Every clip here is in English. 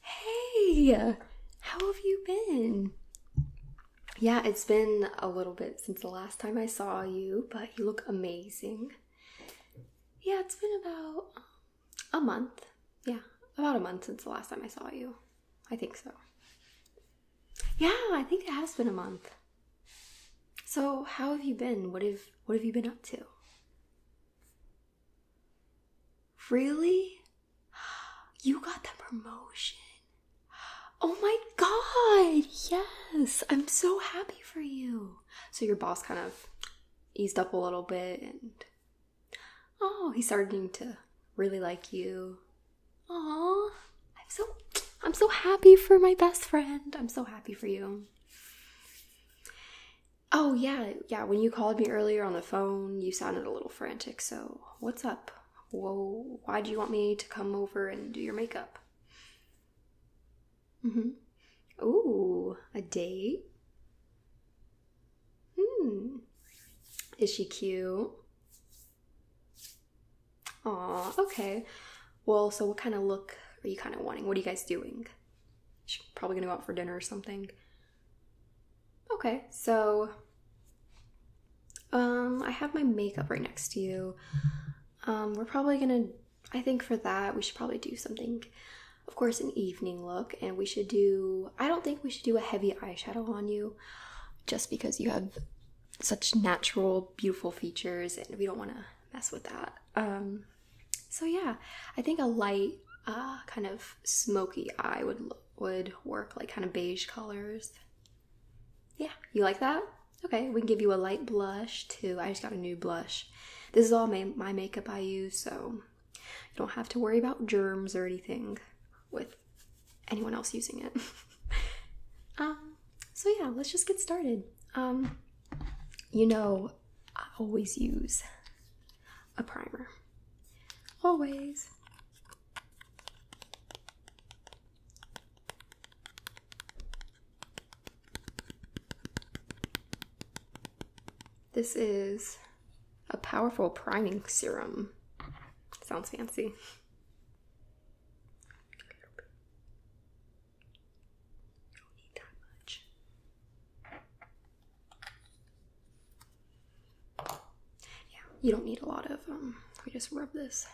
Hey, how have you been? Yeah, it's been a little bit since the last time I saw you, but you look amazing. Yeah, it's been about um, a month. Yeah, about a month since the last time I saw you. I think so. Yeah, I think it has been a month. So, how have you been? What have what have you been up to? Really? You got the promotion. Oh my god! Yes! I'm so happy for you. So your boss kind of eased up a little bit and oh, he's starting to really like you. Aw, I'm so I'm so happy for my best friend. I'm so happy for you. Oh, yeah, yeah. When you called me earlier on the phone, you sounded a little frantic. So, what's up? Whoa, why do you want me to come over and do your makeup? Mm hmm. Ooh, a date? Hmm. Is she cute? Aw, okay. Well, so what kind of look are you kind of wanting? What are you guys doing? She's probably gonna go out for dinner or something. Okay, so um, I have my makeup right next to you. Um, we're probably gonna, I think for that, we should probably do something, of course, an evening look, and we should do, I don't think we should do a heavy eyeshadow on you just because you have such natural, beautiful features, and we don't wanna mess with that. Um, so yeah, I think a light uh, kind of smoky eye would would work, like kind of beige colors. Yeah, you like that? Okay, we can give you a light blush too. I just got a new blush. This is all my, my makeup I use, so you don't have to worry about germs or anything with anyone else using it. um, so yeah, let's just get started. Um, you know, I always use a primer. Always. This is a powerful priming serum. Sounds fancy. You don't need that much. Yeah, you don't need a lot of, um, we just rub this,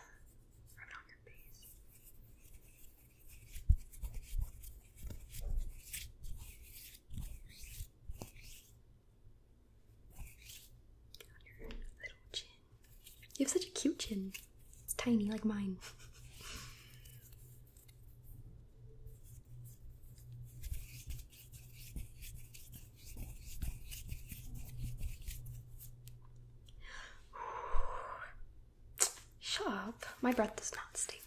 rub it on your face. Your little chin. You have such a cute chin. It's tiny like mine. Shut up. My breath does not stink.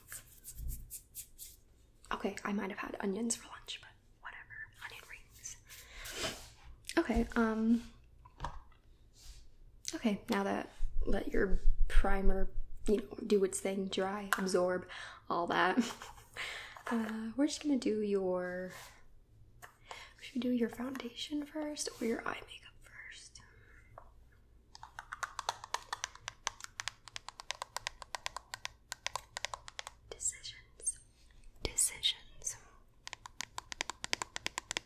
Okay, I might have had onions for lunch, but whatever. Onion rings. Okay, um Okay, now that let your primer, you know, do its thing, dry, absorb, all that. Uh, we're just gonna do your. Should we do your foundation first or your eye makeup first? Decisions. Decisions.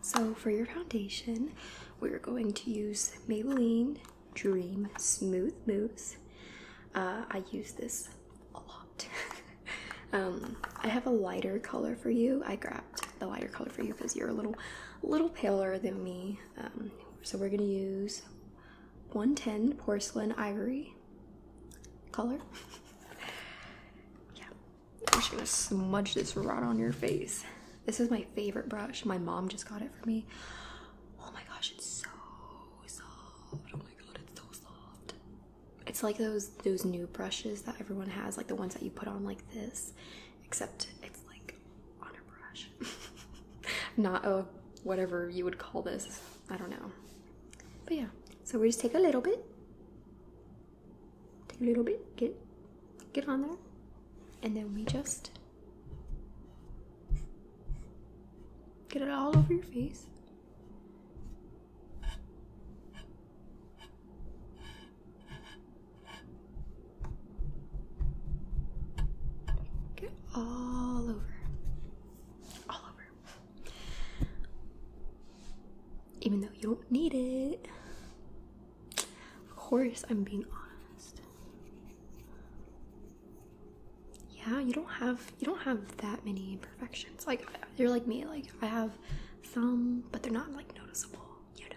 So, for your foundation, we're going to use Maybelline Dream Smooth Mousse. Uh, I use this a lot. Um, I have a lighter color for you. I grabbed the lighter color for you because you're a little, little paler than me. Um, so, we're going to use 110 porcelain ivory color. yeah, I'm just gonna smudge this right on your face. This is my favorite brush. My mom just got it for me. Oh my gosh, it's so soft. Oh my god, it's so soft. It's like those those new brushes that everyone has, like the ones that you put on like this, except it's like on a brush. Not a whatever you would call this. I don't know. But yeah. So we just take a little bit take a little bit, get get on there, and then we just get it all over your face. Get all over. All over. Even though you don't need it. Of course, I'm being honest. Yeah, you don't have you don't have that many imperfections. Like you're like me. Like I have some, but they're not like noticeable. You know.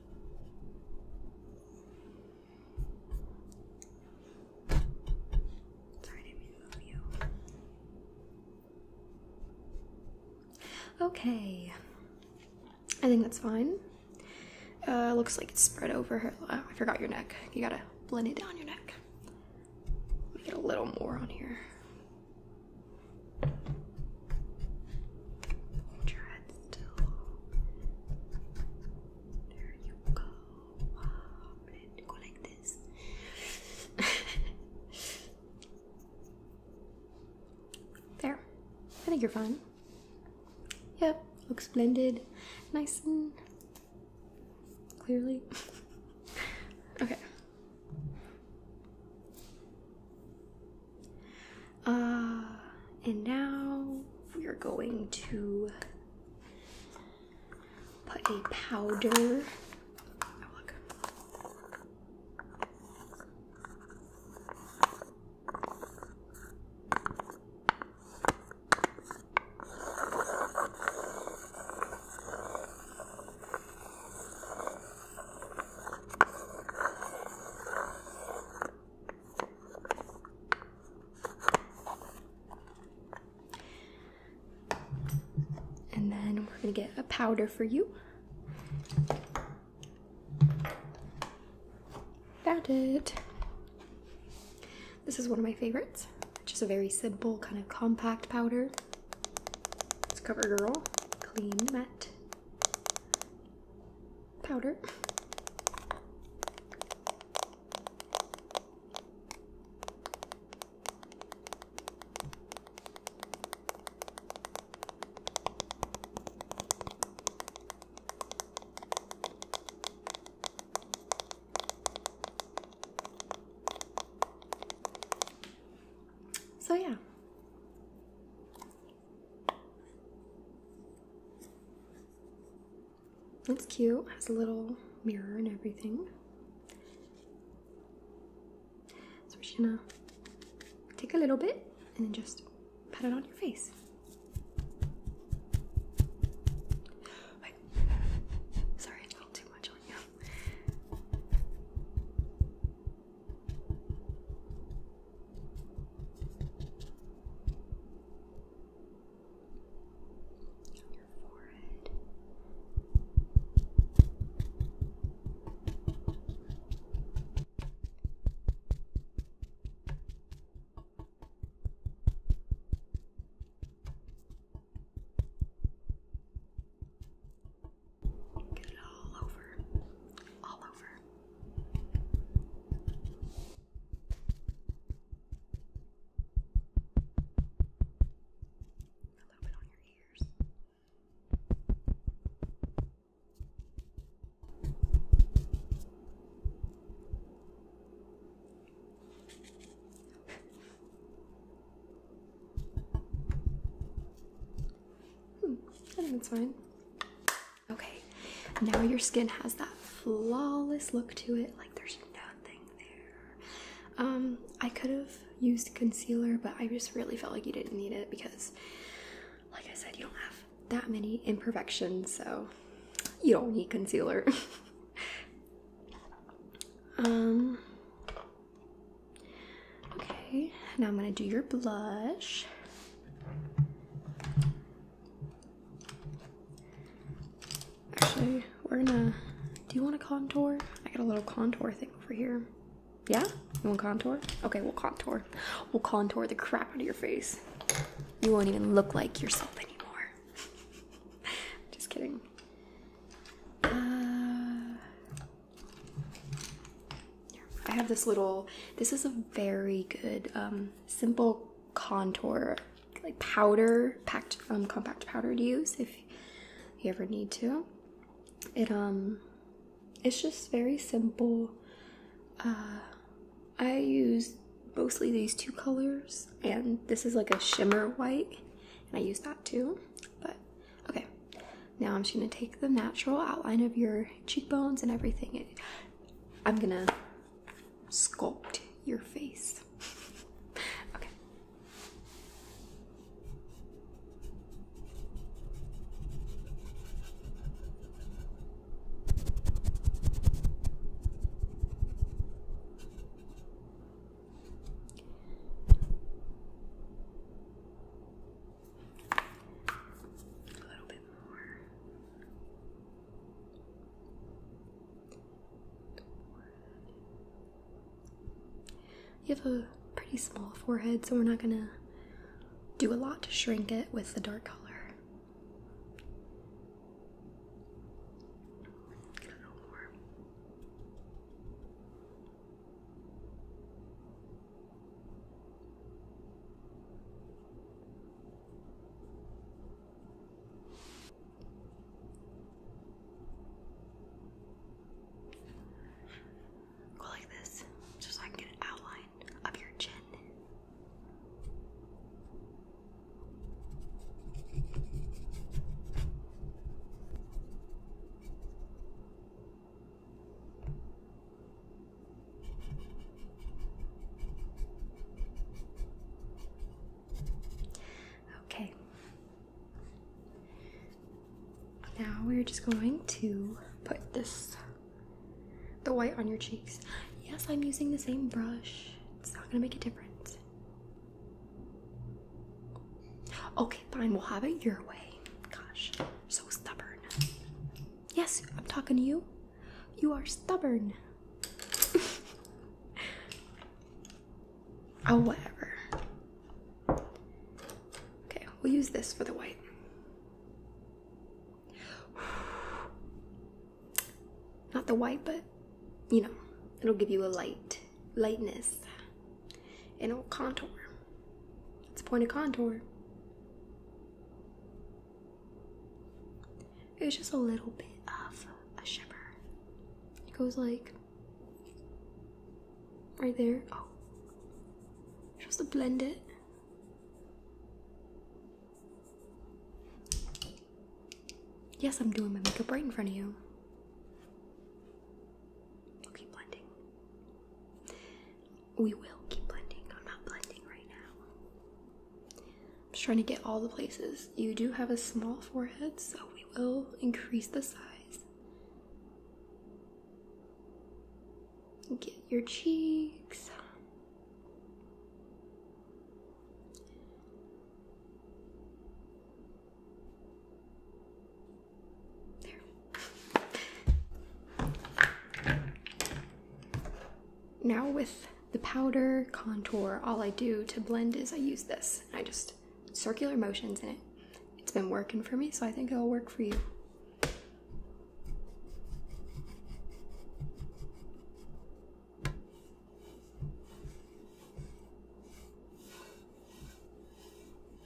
Okay. I think that's fine. Uh, looks like it's spread over her. Oh, I forgot your neck. You gotta blend it down your neck. get a little more on here. Hold your head still. There you go. go like this. there. I think you're fine. Yep. Looks blended. Nice and clearly. okay. Uh, and now we're going to put a powder. And then we're gonna get a powder for you. Found it. This is one of my favorites. Just a very simple, kind of compact powder. It's CoverGirl Clean Matte powder. So, yeah, that's cute, has a little mirror and everything. So we're just gonna take a little bit and then just pat it on your face. Sorry, a little too much on you your forehead. Your Get it all over. All over. A little bit on your ears. Hmm, I think it's fine. Okay, now your skin has that flawless look to it, like there's nothing there. Um, I could have used concealer, but I just really felt like you didn't need it because, like I said, you don't have that many imperfections, so you don't need concealer. um, Okay, now I'm going to do your blush. Actually, we're gonna. Do you want a contour? I got a little contour thing over here. Yeah? You want contour? Okay, we'll contour. We'll contour the crap out of your face. You won't even look like yourself anymore. Just kidding. Uh, I have this little, this is a very good um, simple contour, like powder, packed, um, compact powder to use if you ever need to. It, um, it's just very simple. Uh, I use mostly these two colors and this is like a shimmer white and I use that too, but Okay, now I'm just gonna take the natural outline of your cheekbones and everything. I'm gonna sculpt your face. okay a little bit more. You have a pretty small forehead, so we're not gonna do a lot to shrink it with the dark color. A little more. Go like this, just so I can get an outline of your chin. Okay. Now we're just going to put this the white on your cheeks. Yes, I'm using the same brush. It's not going to make a difference. Okay, fine. We'll have it your way. Gosh so stubborn. Yes, I'm talking to you. You are stubborn. oh, whatever. Okay, we'll use this for the white. Not the white, but you know, it'll give you a light, lightness, and it'll contour. It's the point of contour. It's just a little bit of a shimmer. It goes like right there. Oh, just to blend it. Yes, I'm doing my makeup right in front of you. keep blending. We will keep blending. I'm not blending right now. I'm just trying to get all the places. You do have a small forehead, so we will increase the size. Get your cheeks. Now with the powder contour, all I do to blend is I use this. I just circular motions in it. It's been working for me, so I think it'll work for you.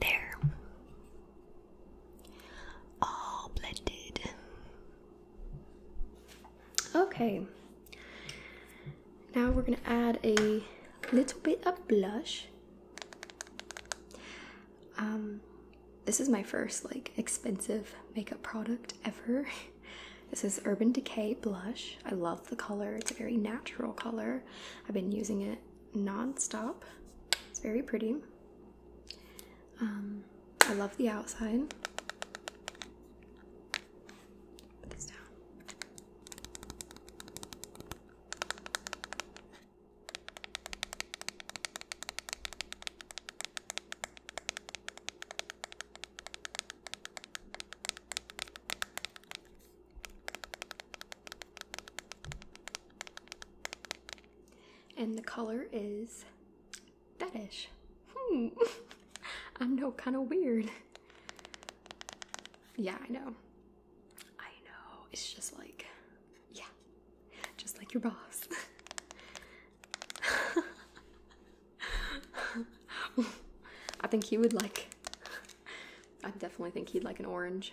There. All blended. Okay. Now we're going to add a little bit of blush. Um this is my first like expensive makeup product ever. this is Urban Decay blush. I love the color. It's a very natural color. I've been using it non-stop. It's very pretty. Um, I love the outside. Put this down. And the color is fetish. Hmm. I know, kind of weird. Yeah, I know. I know. It's just like, yeah, just like your boss. I think he would like I definitely think he'd like an orange.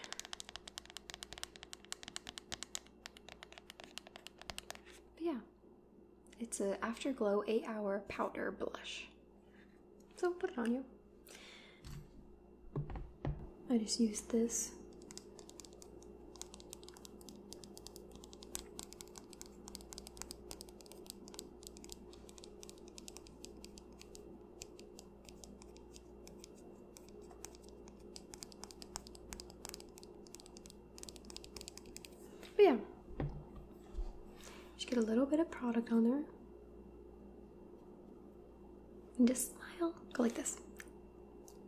yeah, it's a Afterglow 8 Hour Powder Blush. So put it on you. I just used this. But yeah, just get a little bit of product on there. And just smile. Go like this.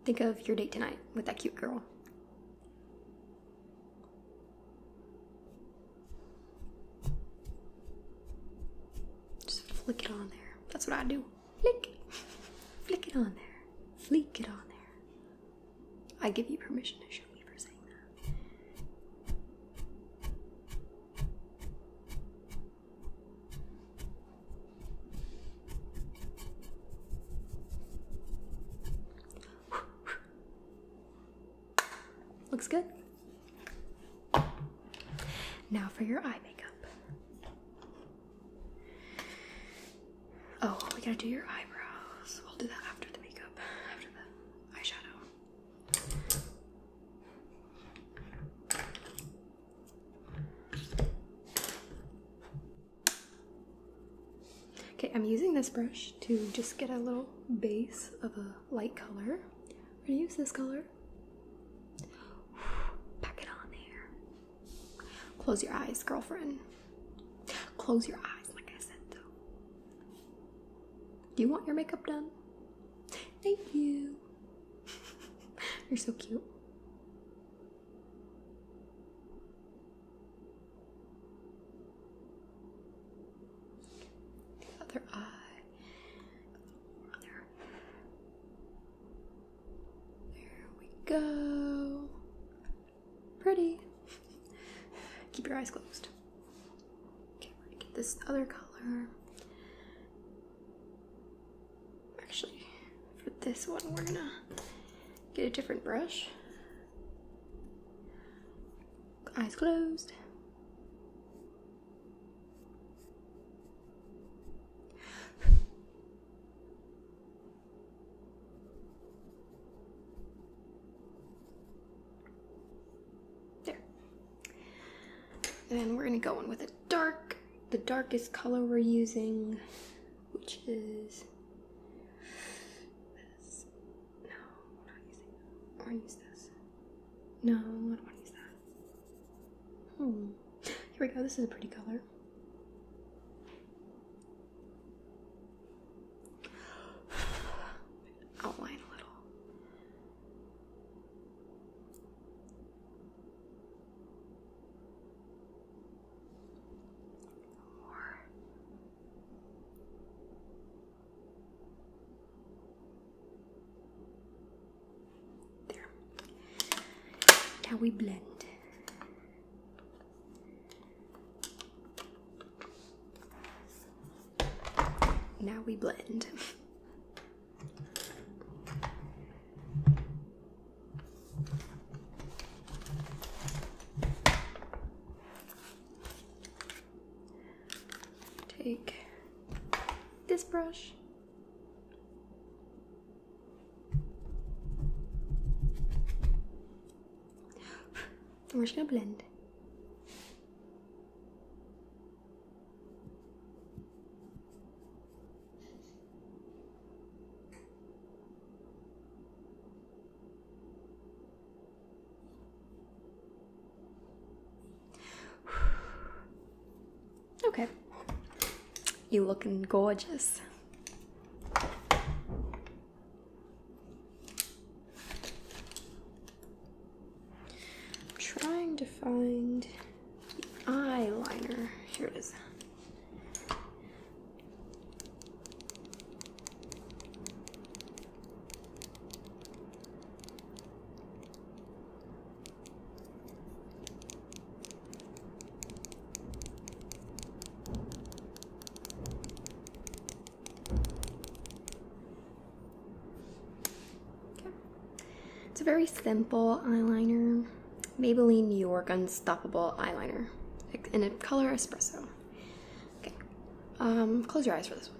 Think of your date tonight with that cute girl. Just flick it on there. That's what I do. Flick. Flick it on there. Flick it on there. I give you permission to shoot me for saying that. Looks good. Now for your eye makeup. Oh, we gotta do your eyebrows. We'll do that after the makeup, after the eyeshadow. Okay, I'm using this brush to just get a little base of a light color. We're gonna use this color. Pack it on there. Close your eyes, girlfriend. Close your eyes, like I said, though. Do you want your makeup done? Thank you. You're so cute. The other eye. There. we go. Pretty. Keep your eyes closed. Okay, get this other color. Actually, for this one, we're gonna get a different brush eyes closed. there. and we're gonna go in with a dark, the darkest color we're using, which is no, we're not using that. Or use this. No, I don't want to use that. Hmm. Here we go. This is a pretty color. Outline a little. More. There. Now we blend. Now we blend. Take this brush. And we're just gonna blend. Okay. You looking gorgeous. trying to find the eyeliner. Here it is. It's a very simple eyeliner, Maybelline New York Unstoppable Eyeliner in a color espresso. Okay, um, close your eyes for this one.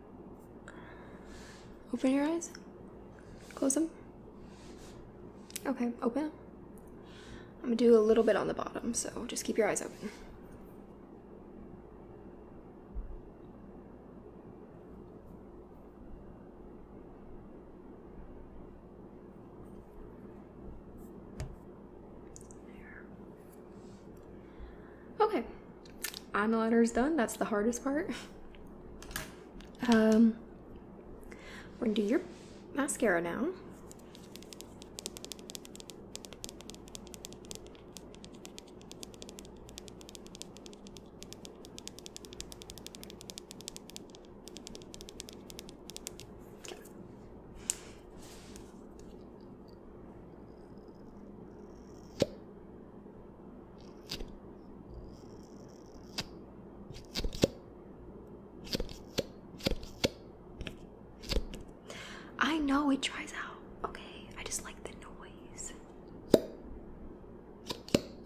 Open your eyes. Close them. Okay, open. I'm gonna do a little bit on the bottom, so just keep your eyes open. Okay, eyeliner's done. That's the hardest part. Um, we're gonna do your mascara now. I know it dries out, okay? I just like the noise.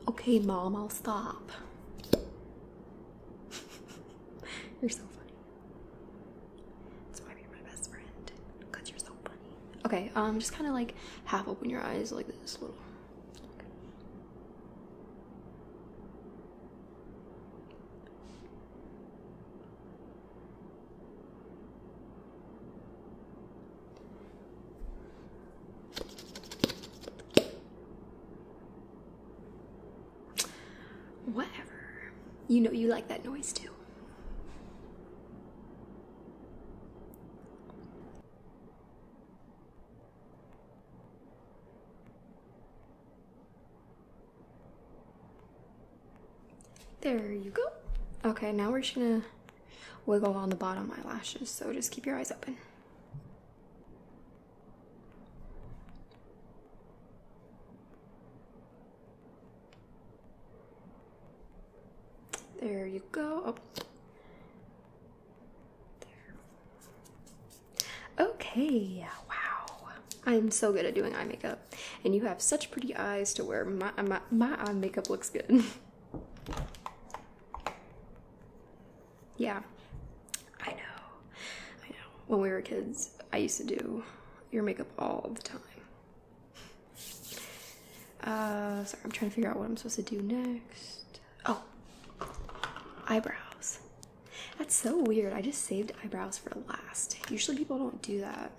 Okay, mom, I'll stop. you're so funny. That's why you're my best friend. Because you're so funny. Okay, um, just kind of like half open your eyes like this little. Whatever. You know you like that noise too. There you go. Okay, now we're just gonna wiggle on the bottom eyelashes, so just keep your eyes open. There you go. Oh. There. Okay, wow. I'm so good at doing eye makeup. And you have such pretty eyes to wear my, my, my eye makeup looks good. yeah, I know. I know. When we were kids, I used to do your makeup all the time. Uh, sorry, I'm trying to figure out what I'm supposed to do next. Oh, eyebrows. That's so weird. I just saved eyebrows for last. Usually people don't do that,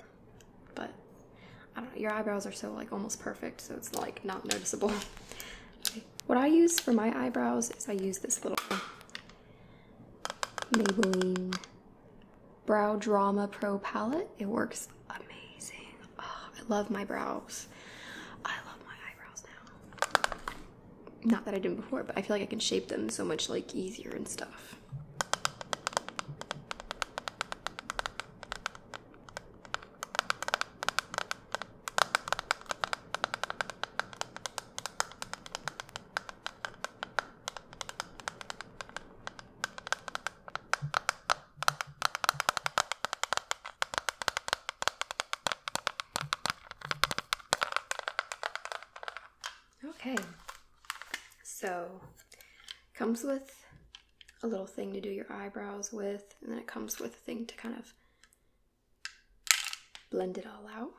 but I don't know. Your eyebrows are so like almost perfect, so it's like not noticeable. What I use for my eyebrows is I use this little Maybelline Brow Drama Pro Palette. It works amazing. Ah, I love my brows. I love my eyebrows now. Not that I didn't before, but I feel like I can shape them so much like easier and stuff. Okay, so comes with a little thing to do your eyebrows with, and then it comes with a thing to kind of blend it all out.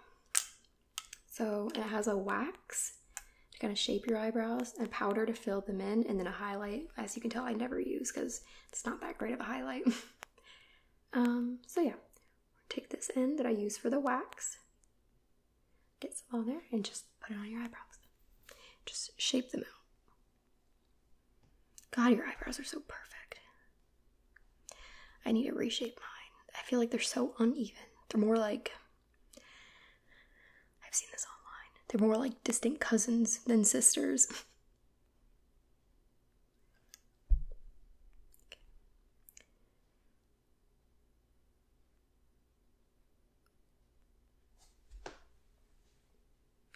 So it has a wax to kind of shape your eyebrows, and powder to fill them in, and then a highlight. As you can tell, I never use because it's not that great of a highlight. um, so yeah, take this end that I use for the wax, get some on there, and just put it on your eyebrows. Just shape them out. God, your eyebrows are so perfect. I need to reshape mine. I feel like they're so uneven. They're more like I've seen this online. They are more like distant cousins than sisters.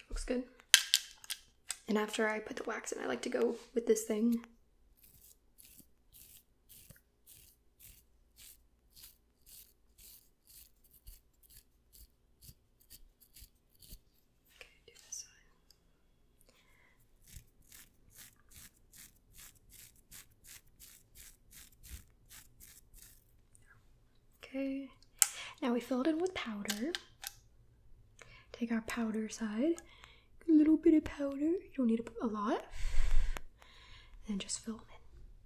Looks good. And after I put the wax in, I like to go with this thing. Okay, do this one. Okay, now we fill it in with powder. Take our powder side, a little bit of powder, you don't need a lot, and just fill it. in.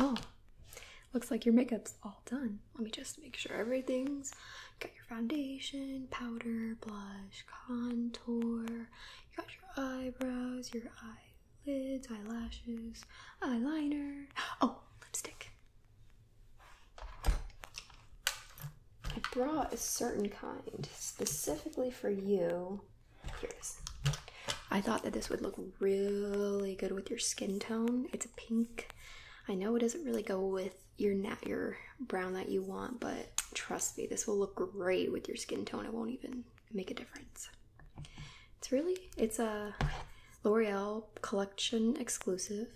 Oh, looks like your makeup's all done. Let me just make sure everything's got your foundation, powder, blush, contour, you got your eyebrows, your eyelids, eyelashes, eyeliner. Oh, lipstick. I brought a certain kind specifically for you. Here it is. I thought that this would look really good with your skin tone. It's a pink. I know it doesn't really go with your nat your brown that you want, but trust me, this will look great with your skin tone. It won't even make a difference. It's really it's a L'Oreal collection exclusive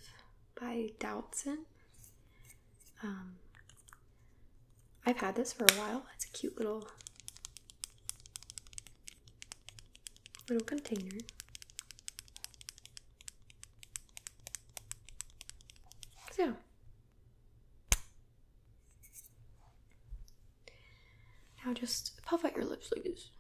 by Dowdson. Um, I've had this for a while. It's a cute little little container. So now just puff out your lips like this.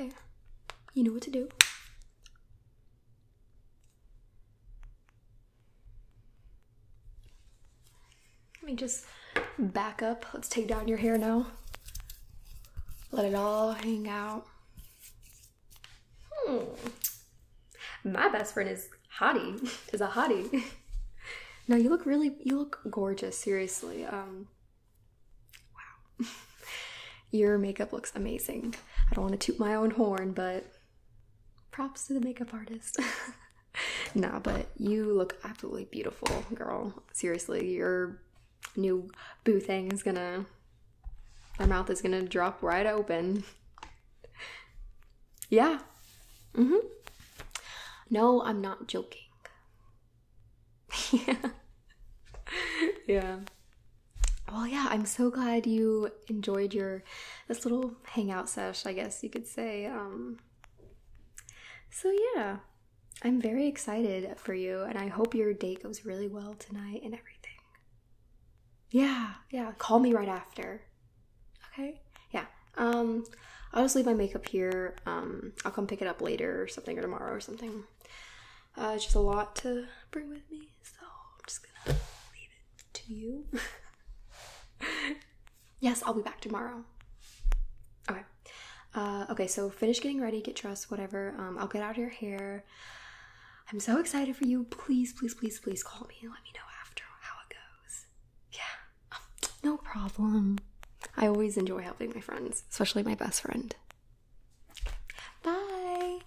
Okay, you know what to do. Let me just back up. Let's take down your hair now. Let it all hang out. Hmm. My best friend is hottie. Is a hottie. no, you look really you look gorgeous, seriously. Um wow. your makeup looks amazing. I don't want to toot my own horn, but props to the makeup artist. nah, but you look absolutely beautiful, girl. Seriously, your new boo thing is gonna. Their mouth is gonna drop right open. yeah. Mm hmm. No, I'm not joking. yeah. yeah. Well, yeah, I'm so glad you enjoyed your this little hangout sesh, I guess you could say. Um so, yeah, I'm very excited for you, and I hope your date goes really well tonight and everything. Yeah, yeah, call me right after. Okay? Yeah. Um, I'll just leave my makeup here. Um, I'll come pick it up later or something, or tomorrow or something. Uh, just a lot to bring with me, so I'm just gonna leave it to you. Yes, I'll be back tomorrow. Okay. Uh, okay, so finish getting ready, get dressed, whatever. Um, I'll get out your hair. I'm so excited for you. Please, please, please, please call me let me know after how it goes. Yeah, no problem. I always enjoy helping my friends, especially my best friend. Bye.